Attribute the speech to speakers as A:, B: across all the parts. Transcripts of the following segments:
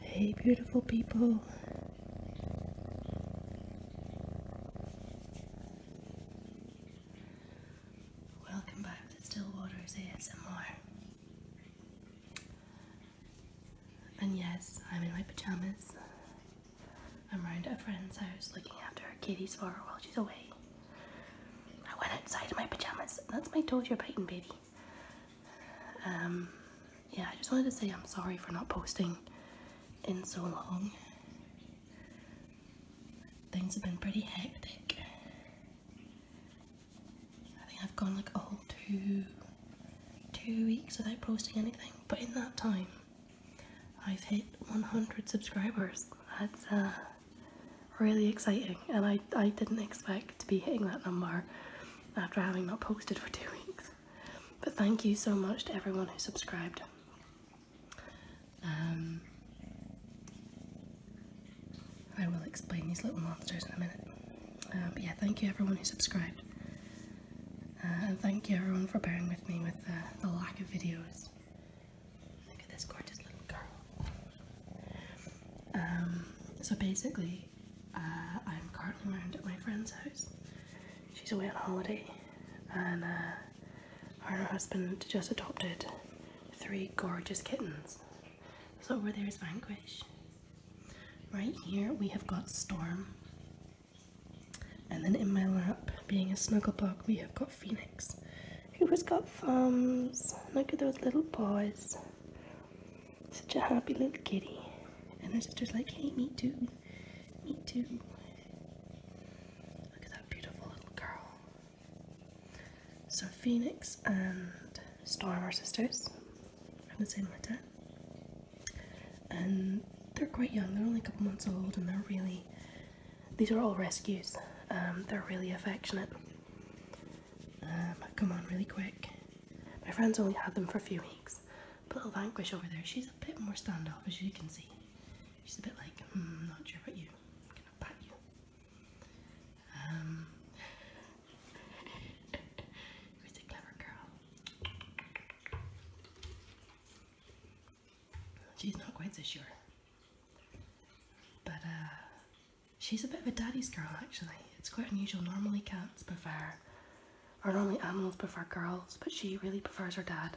A: Hey, beautiful people. Welcome back to Stillwater's ASMR. And yes, I'm in my pajamas. I'm round at a friend's house looking after her kitty's for while she's away. I went outside in my pajamas. That's my toes you're biting, baby. Um, yeah, I just wanted to say I'm sorry for not posting in so long. Things have been pretty hectic. I think I've gone like a whole two, two weeks without posting anything, but in that time, I've hit 100 subscribers. That's uh, really exciting and I, I didn't expect to be hitting that number after having not posted for two weeks. But thank you so much to everyone who subscribed. Um, I will explain these little monsters in a minute. Uh, but yeah, thank you everyone who subscribed. Uh, and thank you everyone for bearing with me with uh, the lack of videos. Look at this gorgeous little girl. Um, so basically, uh, I'm currently at my friend's house. She's away on holiday, and her uh, and her husband just adopted three gorgeous kittens. So over there is Vanquish. Right here we have got Storm. And then in my lap, being a snuggle bug, we have got Phoenix, who has got thumbs. Look at those little paws. Such a happy little kitty. And her sister's like, hey, me too. Me too. Look at that beautiful little girl. So Phoenix and Storm are sisters from the same litter. And they're quite young, they're only a couple months old and they're really, these are all rescues. Um, they're really affectionate. Um, come on, really quick. My friend's only had them for a few weeks. But little Vanquish over there, she's a bit more standoff, as you can see. She's a bit like, hmm, not sure about you. gonna pat you. Um, who's a clever girl? She's not quite so sure. But uh, She's a bit of a daddy's girl actually. It's quite unusual. Normally cats prefer, or normally animals prefer girls, but she really prefers her dad.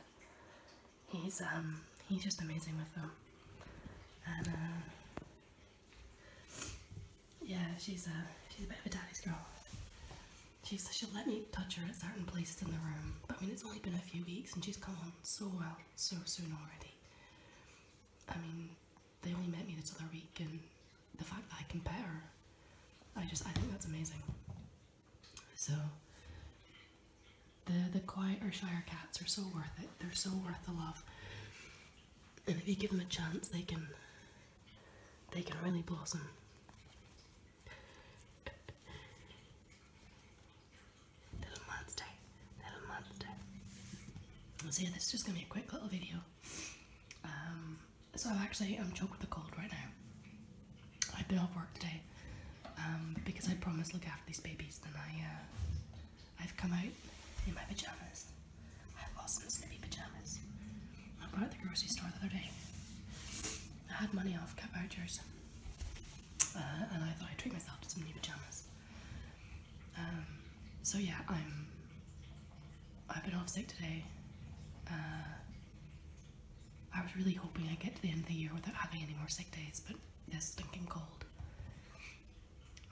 A: He's um he's just amazing with them, and uh, yeah, she's a uh, she's a bit of a daddy's girl. She's she'll let me touch her at certain places in the room, but I mean it's only been a few weeks and she's come on so well so soon already. I mean, they only met me this other week, and the fact that I can pet her, I just I think that's amazing. So the the quieter Shire cats are so worth it. They're so worth the love, and if you give them a chance, they can they can really blossom. Little monster little monster. So yeah, this is just gonna be a quick little video. Um, so I'm actually I'm choked with a cold right now. I've been off work today um, because I promised look after these babies. and I uh, I've come out in my pajamas. I have some snippy pajamas. I bought at the grocery store the other day. I had money off cat vouchers, uh, and I thought I'd treat myself to some new pajamas. Um, so yeah, I'm. I've been off sick today. Uh, I was really hoping I'd get to the end of the year without having any more sick days, but this stinking cold.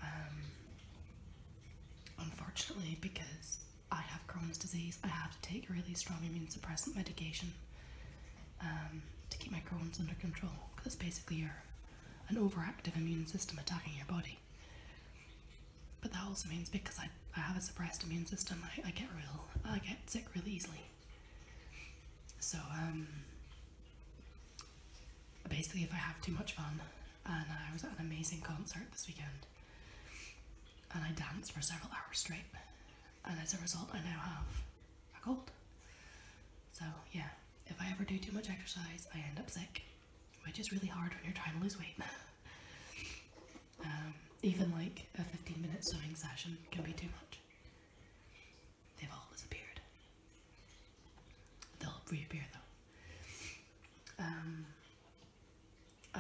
A: Um, unfortunately, because I have Crohn's disease, I have to take really strong immunosuppressant medication um, to keep my Crohn's under control, because basically, you're an overactive immune system attacking your body. But that also means because I, I have a suppressed immune system, I, get real, I get sick really easily. So um, basically, if I have too much fun, and I was at an amazing concert this weekend, and I danced for several hours straight, and as a result, I now have a cold. So yeah, if I ever do too much exercise, I end up sick which is really hard when you're trying to lose weight. Um, even like a 15 minute sewing session can be too much. They've all disappeared. They'll reappear though. Um, uh,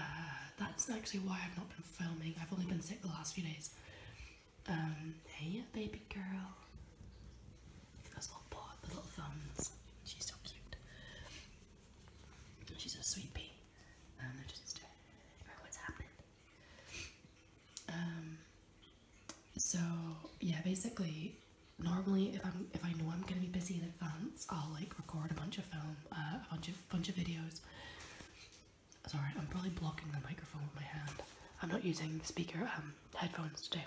A: that's actually why I've not been filming. I've only been sick the last few days. Um, hey, baby girl little thumbs. She's so cute. She's a sweetie. Um, So yeah, basically, normally if I'm if I know I'm gonna be busy in advance, I'll like record a bunch of film, uh, a bunch of bunch of videos. Sorry, I'm probably blocking the microphone with my hand. I'm not using speaker um, headphones today.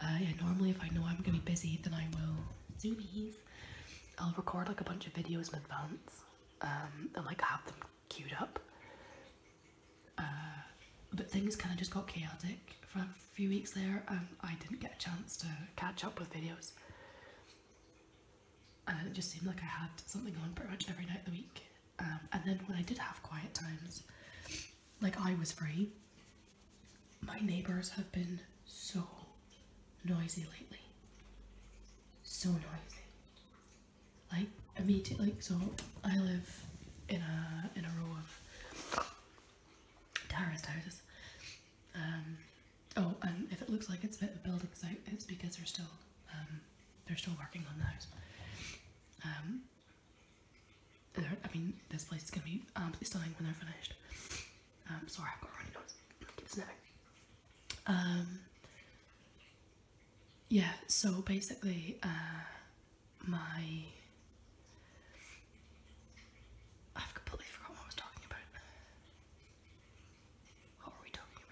A: Uh, yeah, normally if I know I'm gonna be busy, then I will zoomies. I'll record like a bunch of videos in advance um, and like have them queued up. Uh, but things kind of just got chaotic for a few weeks there, and I didn't get a chance to catch up with videos. And it just seemed like I had something on pretty much every night of the week. Um, and then when I did have quiet times, like I was free, my neighbors have been so noisy lately. So noisy. Like immediately so I live in a in a row of terraced houses. Um oh and if it looks like it's a bit of building site it's because they're still um, they're still working on those. Um I mean, this place is gonna be um, stunning when they're finished. Um, sorry, I've got a runny nose. Um, yeah, so basically, uh, my. I've completely forgotten what I was talking about. What were we talking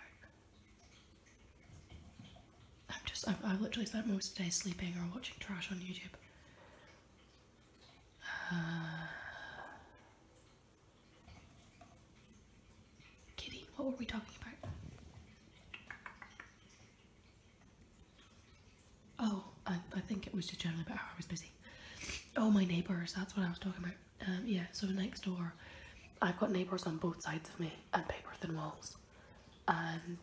A: about? I'm just, I've, literally spent most of the day sleeping or watching trash on YouTube. kitty, what were we talking about? Oh, I, think it was just generally about how I was busy. Oh, my neighbours, that's what I was talking about. Um, yeah, so next door, I've got neighbours on both sides of me and paper thin walls. And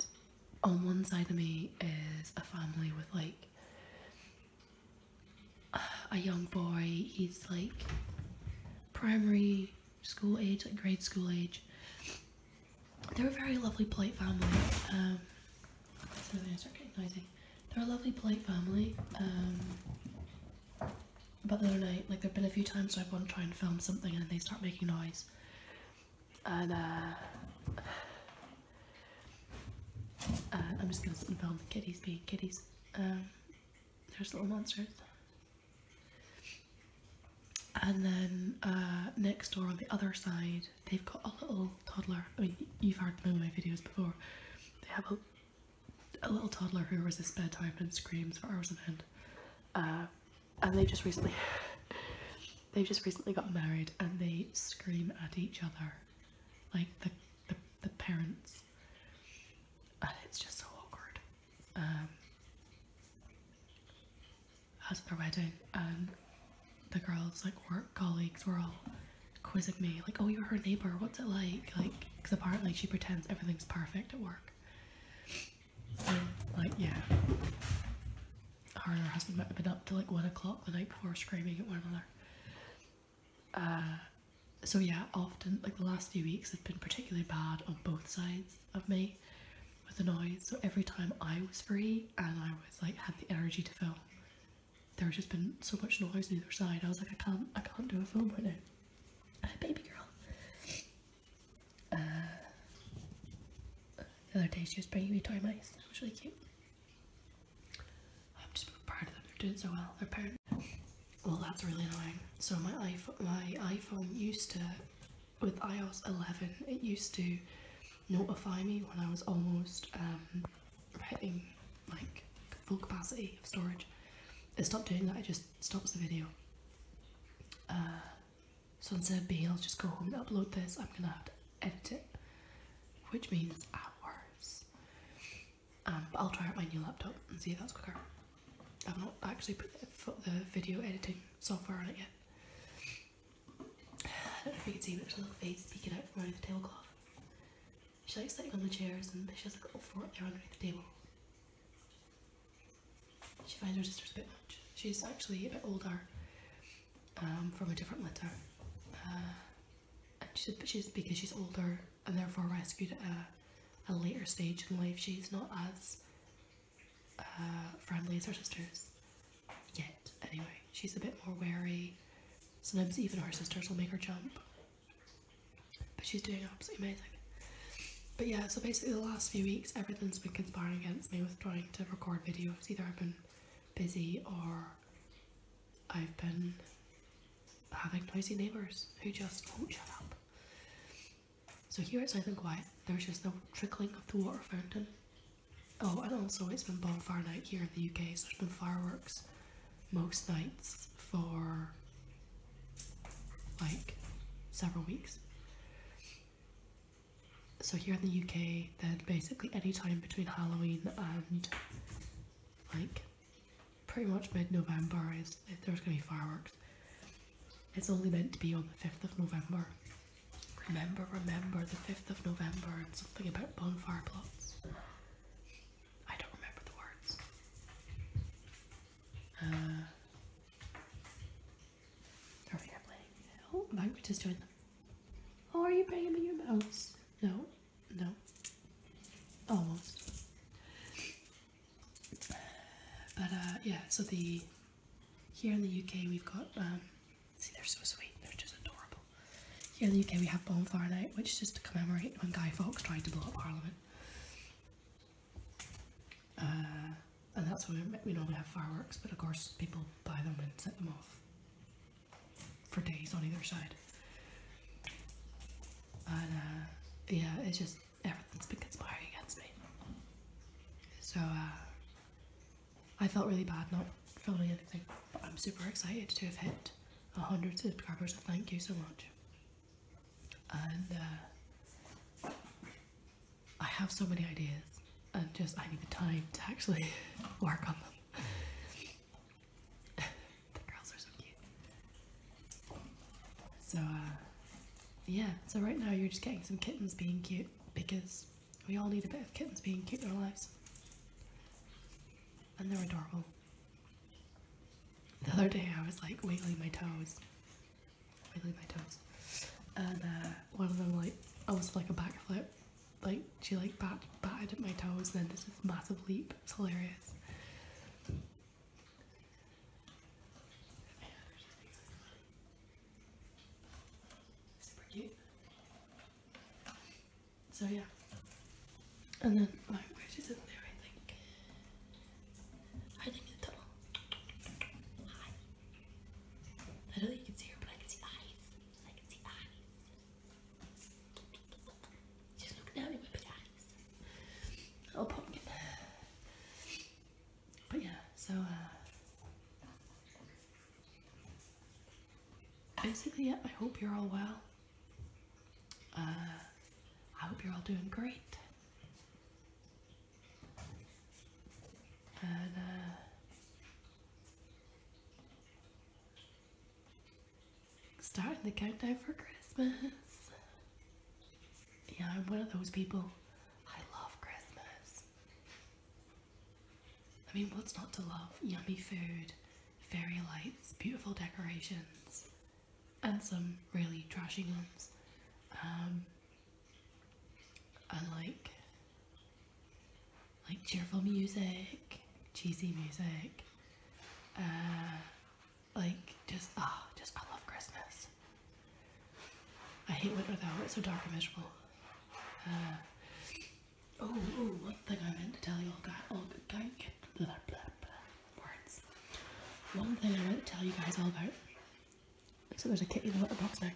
A: on one side of me is a family with like a young boy, he's like primary school age, like grade school age. They're a very lovely, polite family. Um, that's another start getting noisy. They're a lovely, polite family. Um, but the other night, like there've been a few times where I've gone to try and film something and they start making noise and uh, uh, I'm just gonna sit and film the kitties being kitties. Um, there's little monsters. And then uh, next door on the other side, they've got a little toddler. I mean, you've heard them in my videos before. They have a, little toddler who resists bedtime and screams for hours on end. and they just recently they just recently got married and they scream at each other, like the the, parents, and it's just so awkward. Um, at their wedding, and um, the girls, like work colleagues, were all quizzing me, like, "Oh, you're her neighbor. What's it like?" Like, because apparently she pretends everything's perfect at work. like, yeah her and her husband might have been up till like one o'clock the night before screaming at one another. Uh, so yeah, often like the last few weeks have been particularly bad on both sides of me with the noise. So every time I was free and I was like had the energy to film, there's just been so much noise on either side. I was like, I can't, I can't do a film right now. baby girl. Uh, the other day she was bringing me toy mice. That was really cute. I'm just proud of them. They're doing so well. They're parents. Well, that's really annoying. So my iPhone, my iPhone used to, with iOS 11, it used to notify me when I was almost hitting um, like full capacity of storage. It stopped doing that. It just stops the video. Uh, so instead of being able just go home and upload this, I'm gonna have to edit it, which means hours. Um, but I'll try out my new laptop and see if that's quicker. I've not actually put the, video editing software on it yet. you can see, but there's a little face peeking out from underneath the tablecloth. She's like sitting on the chairs and she has a little oh, fort there underneath the table. She finds her sister's a bit much. She's actually a bit older um, from a different litter. Uh, and she's because she's older and therefore rescued at a, later stage And life, she's not as uh, friendly as her sisters yet. Anyway, she's a bit more wary. Sometimes even her sisters will make her jump. But she's doing absolutely amazing. But yeah, so basically the last few weeks everything's been conspiring against me with trying to record videos. Either I've been busy or I've been having noisy neighbours who just won't shut up. So here it's nice and quiet, there's just the trickling of the water fountain. Oh, and also it's been bonfire night here in the UK, so there's been fireworks most nights for like several weeks so here in the UK, then basically any time between Halloween and like pretty much mid-November is there's gonna be fireworks. It's only meant to be on the 5th of November. Remember, remember the 5th of November and something about bonfire plots. I don't remember the words. are we playing? Oh, language is doing Oh, are you banging me your mouse? No, no. Almost. But uh, yeah, so the here in the UK we've got um, see they're so sweet, they're just adorable. Here in the UK we have Bonfire Night, which is just to commemorate when Guy Fawkes tried to blow up Parliament. Uh, and that's why we normally have fireworks, but of course people buy them and set them off for days on either side. And uh, yeah, it's just everything's been conspiring against me. So uh, I felt really bad not filming anything, I'm super excited to have hit 100 subscribers. thank you so much. And uh, I have so many ideas and just I need the time to actually work on them. the girls are so cute. So uh, yeah, so right now you're just getting some kittens being cute because we all need a bit of kittens being cute in our lives. And they're adorable. The other day I was like wiggling my toes. Wiggling my toes. And uh, one of them like almost like a backflip like she like bat batted at my toes and then there's this massive leap. It's hilarious. So yeah. And then my in there I think. I think it's Hi. I you can see her but eyes. I can see eyes. She's But yeah, so uh, basically, yeah, I hope you're all well. Uh, I hope you're all doing great. Uh, Starting the countdown for Christmas. Yeah, I'm one of those people. I love Christmas. I mean, what's not to love? Yummy food, fairy lights, beautiful decorations, and some really trashy ones. Um, I like like cheerful music, cheesy music, uh, like just ah, oh, just I love Christmas. I hate winter though; it's so dark and miserable. Uh, oh, oh, one thing I meant to tell you all guys, all guys, blah, words. One thing I meant to tell you guys all about. So there's a kitty in the box now.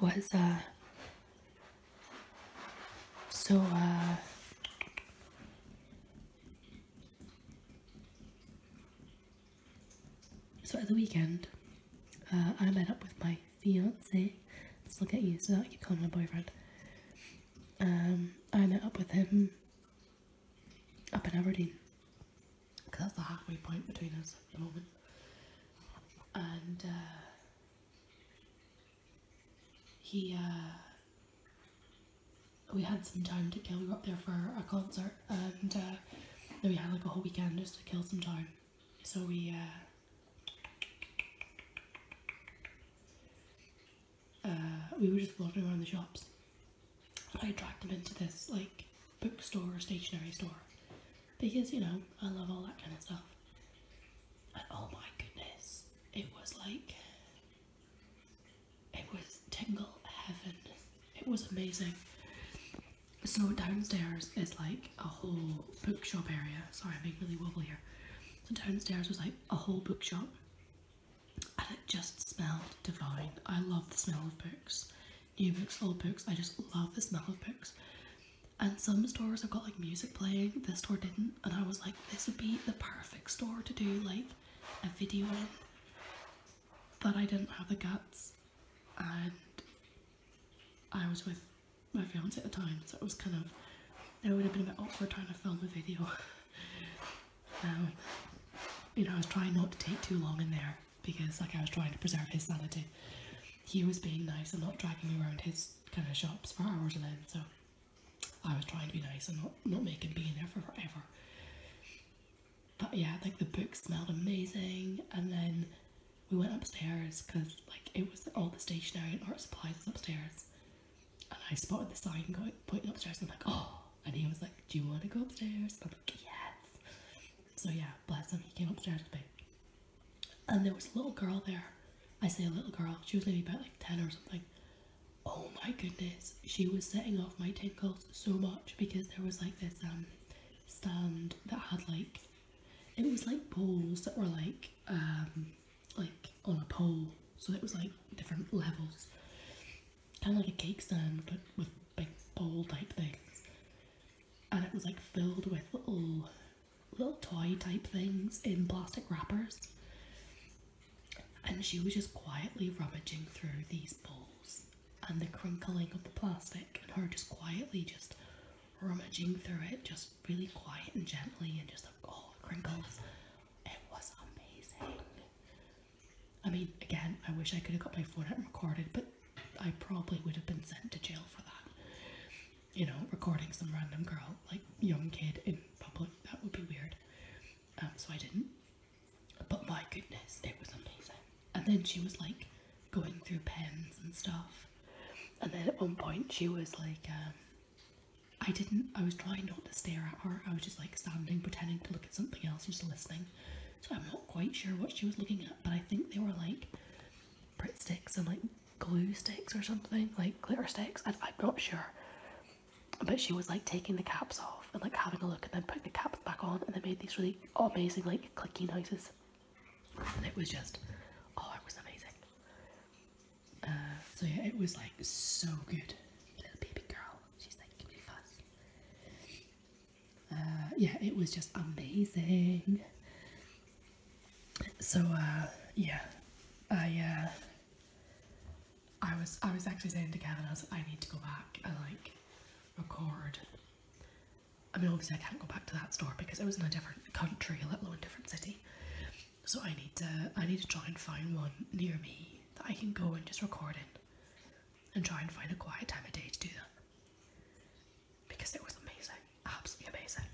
A: Was uh, so, uh, so at the weekend, uh, I met up with my fiance. Let's look at you so that I can call my boyfriend. Um, I met up with him up in Aberdeen because that's the halfway point between us at the moment. And uh, he uh, we had some time to kill. We were up there for a concert, and uh, then we had like a whole weekend just to kill some time. So we uh, we were just walking around the shops. I dragged him into this like bookstore or stationery store, because you know I love all that kind of stuff. And oh my goodness, it was like it was tingle heaven. It was amazing. So downstairs is like a whole bookshop area. Sorry, I'm being really wobbly here. So downstairs was like a whole bookshop, and it just smelled divine. I love the smell of books, new books, old books. I just love the smell of books and some stores have got like music playing this store didn't and i was like this would be the perfect store to do like a video in but i didn't have the guts and i was with my fiance at the time so it was kind of it would have been a bit awkward trying to film a video um, you know i was trying not to take too long in there because like i was trying to preserve his sanity he was being nice and not dragging me around his kind of shops for hours and then So I was trying to be nice and not, not make him be in there for forever. But yeah, like the book smelled amazing. And then we went upstairs because like it was all the stationery and art supplies was upstairs. And I spotted the sign going pointing upstairs. And I'm like, oh. And he was like, do you want to go upstairs? I'm like, yes. So yeah, bless him. He came upstairs with me and there was a little girl there. I say a little girl, she was maybe about like 10 or something. Oh my goodness, she was setting off my tingles so much because there was like this um stand that had like it was like poles that were like um like on a pole so it was like different levels kind of like a cake stand but with big pole type things and it was like filled with little little toy type things in plastic wrappers. And she was just quietly rummaging through these balls, and the crinkling of the plastic, and her just quietly just rummaging through it, just really quiet and gently, and just like oh, all the crinkles. It was amazing. I mean, again, I wish I could have got my phone and recorded, but I probably would have been sent to jail for that you know, recording some random girl, like young kid in public, that would be weird. Um, so I didn't. But my goodness, it was amazing. And then she was like going through pens and stuff. And then at one point she was like, um, I didn't, I was trying not to stare at her. I was just like standing, pretending to look at something else, just listening. So I'm not quite sure what she was looking at, but I think they were like Brit sticks and like glue sticks or something, like glitter sticks. I, am not sure. But she was like taking the caps off and like having a look and then putting the caps back on, and they made these really amazing like clicky noises. And it was just, oh, it was amazing. Uh, so yeah, it was like so good. Little baby girl, she's like, give me fuss. yeah, it was just amazing so uh, yeah, uh, I was I was actually saying to Kevin I was I need to go back and like record. I mean obviously I can't go back to that store because it was in a different country, a little a different city. So I need to I need to try and find one near me that I can go and just record in and try and find a quiet time of day to do that because it was amazing, absolutely amazing.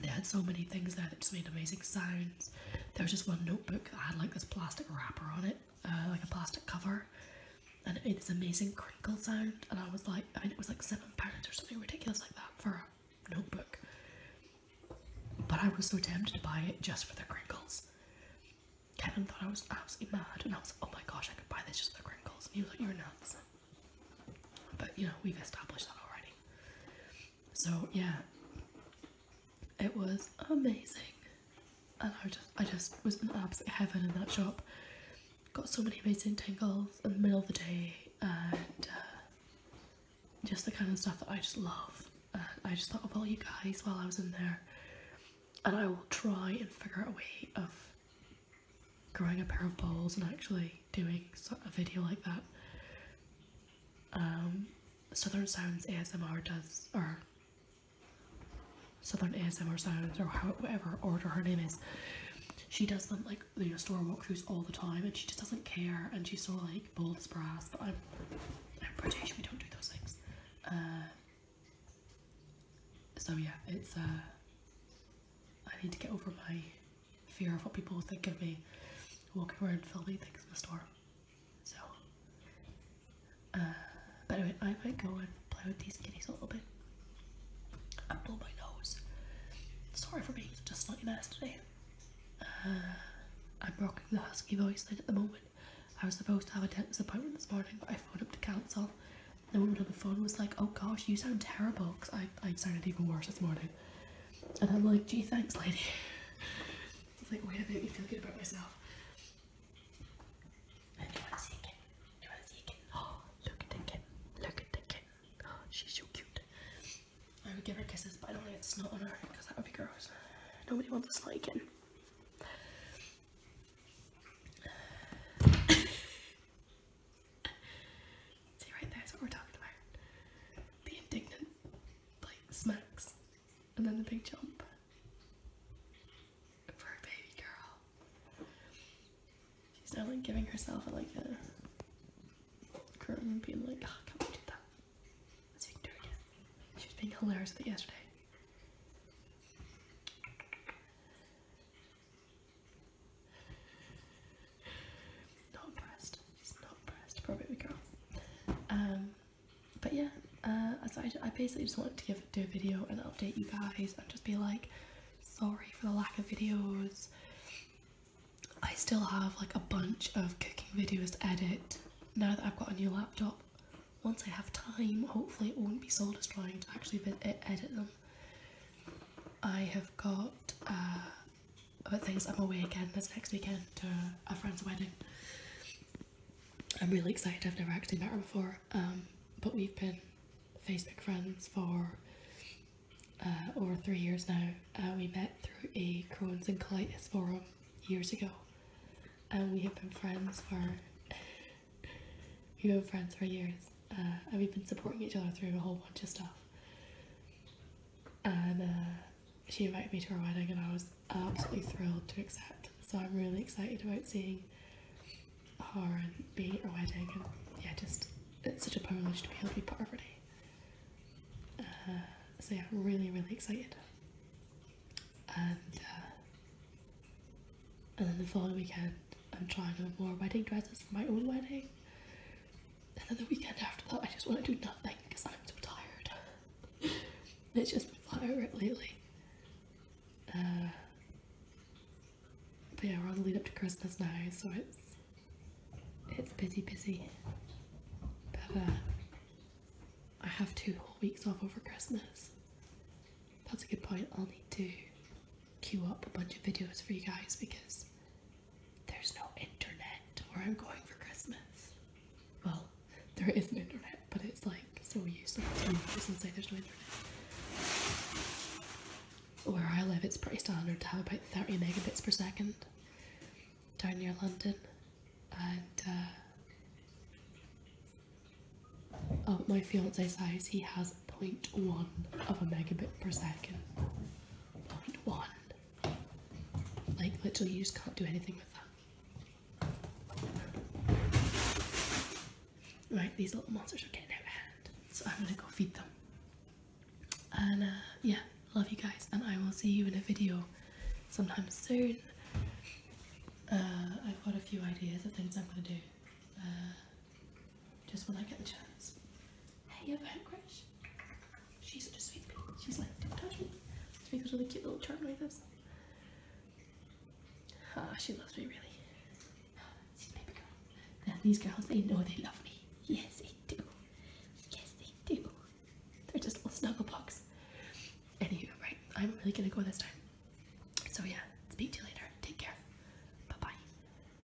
A: They had so many things there that just made amazing sounds. There was just one notebook that had like this plastic wrapper on it, uh, like a plastic cover, and it made this amazing crinkle sound. And I was like, I mean, it was like seven pounds or something ridiculous like that for a notebook. But I was so tempted to buy it just for the crinkles. Kevin thought I was absolutely mad, and I was like, oh my gosh, I could buy this just for the crinkles. And he was like, you're nuts. But you know, we've established that already. So yeah, it was amazing. I just, I just was in absolute heaven in that shop. Got so many amazing tangles in the middle of the day and uh, just the kind of stuff that I just love. I just thought of all you guys while I was in there. And I will try and figure out a way of growing a pair of bowls and actually doing a video like that. Um, Southern Sounds ASMR does, or Southern ASMR Sounds, or whatever order her name is, she does them like you store walkthroughs all the time, and she just doesn't care, and she's so like bold as brass. But I'm, British, we don't do those things. Uh, so yeah, it's uh, I need to get over my fear of what people will think of me walking around filming things in the store. So, uh, but anyway, I might go and play with these kitties a little bit and blow my nose. Sorry for being just like nice today. Uh, I'm rocking the husky voice at the moment. I was supposed to have a dentist appointment this morning, but I phoned up to cancel the woman on the phone was like, "Oh gosh, you sound terrible," because I I sounded even worse this morning. And I'm like, "Gee, thanks, lady." it's like, wait a minute, you feel good about yourself. And do you want to see a kitten? Do you want to see a kitten? Oh, look at the kid. Look at the kid. Oh, she's so cute. I would give her kisses, but I don't want to snot on her because that would be gross. Nobody wants a snotty kitten. See right there is what we're talking about. The indignant like smacks and then the big jump for a baby girl. She's now giving herself a, like a curl and being like, oh, come on, do that. Let's do it again. She was being hilarious with yesterday. Not impressed. not impressed. Probably girl. Um, but yeah, uh, so I, basically just wanted to give do a video and update you guys and just be like, sorry for the lack of videos. I still have like a bunch of cooking videos to edit now that I've got a new laptop. Once I have time, hopefully it won't be so distracting to actually edit them. I have got uh, oh, things. I'm away again this next weekend to a friend's wedding. I'm really excited. I've never acted met her before, um, but we've been Facebook friends for uh, over three years now. Uh, we met through a Crohn's and colitis forum years ago, and we have been friends for you know friends for years uh, and we've been supporting each other through a whole bunch of stuff. And uh, she invited me to her wedding, and I was absolutely thrilled to accept. So I'm really excited about seeing her and being at her wedding, and yeah, just it's such a privilege to be able to be part of her uh, so yeah, I'm really, really excited. And, uh, and then the following weekend, I'm trying to wear wedding dresses for my own wedding. And then the weekend after that, I just want to do nothing because I'm so tired. it's just been flat out lately. Uh, but yeah, we're on the lead up to Christmas now, so it's it's busy, busy. But uh, I have two whole weeks off over Christmas. That's a good point. I'll need to queue up a bunch of videos for you guys because there's no internet where I'm going for Christmas. Well, there is an internet, but it's like so useless. You can say there's no internet. Where I live, it's pretty standard to have about 30 megabits per second down near London. And uh, oh, my fiance's house, he has has 0.1 of a megabit per second. 0.1. Like, literally, you just can't do anything with that. Right, these little monsters are getting out of hand, so I'm gonna go feed them. And uh, yeah, love you guys, and I will see you in a video sometime soon. Uh, I've got a few ideas of things I'm gonna do. Uh, just when I get the chance. Hey, a parent crush. She's such a sweet She's like, don't touch me. She makes really cute little charm like Ah, she loves me really. She's baby girl. Now these girls, they know they love me. Yes, they do. Yes, they do. They're just little snuggle bugs. Anywho, right, I'm really gonna go this time. So yeah, speak to you later. Take care. Bye-bye.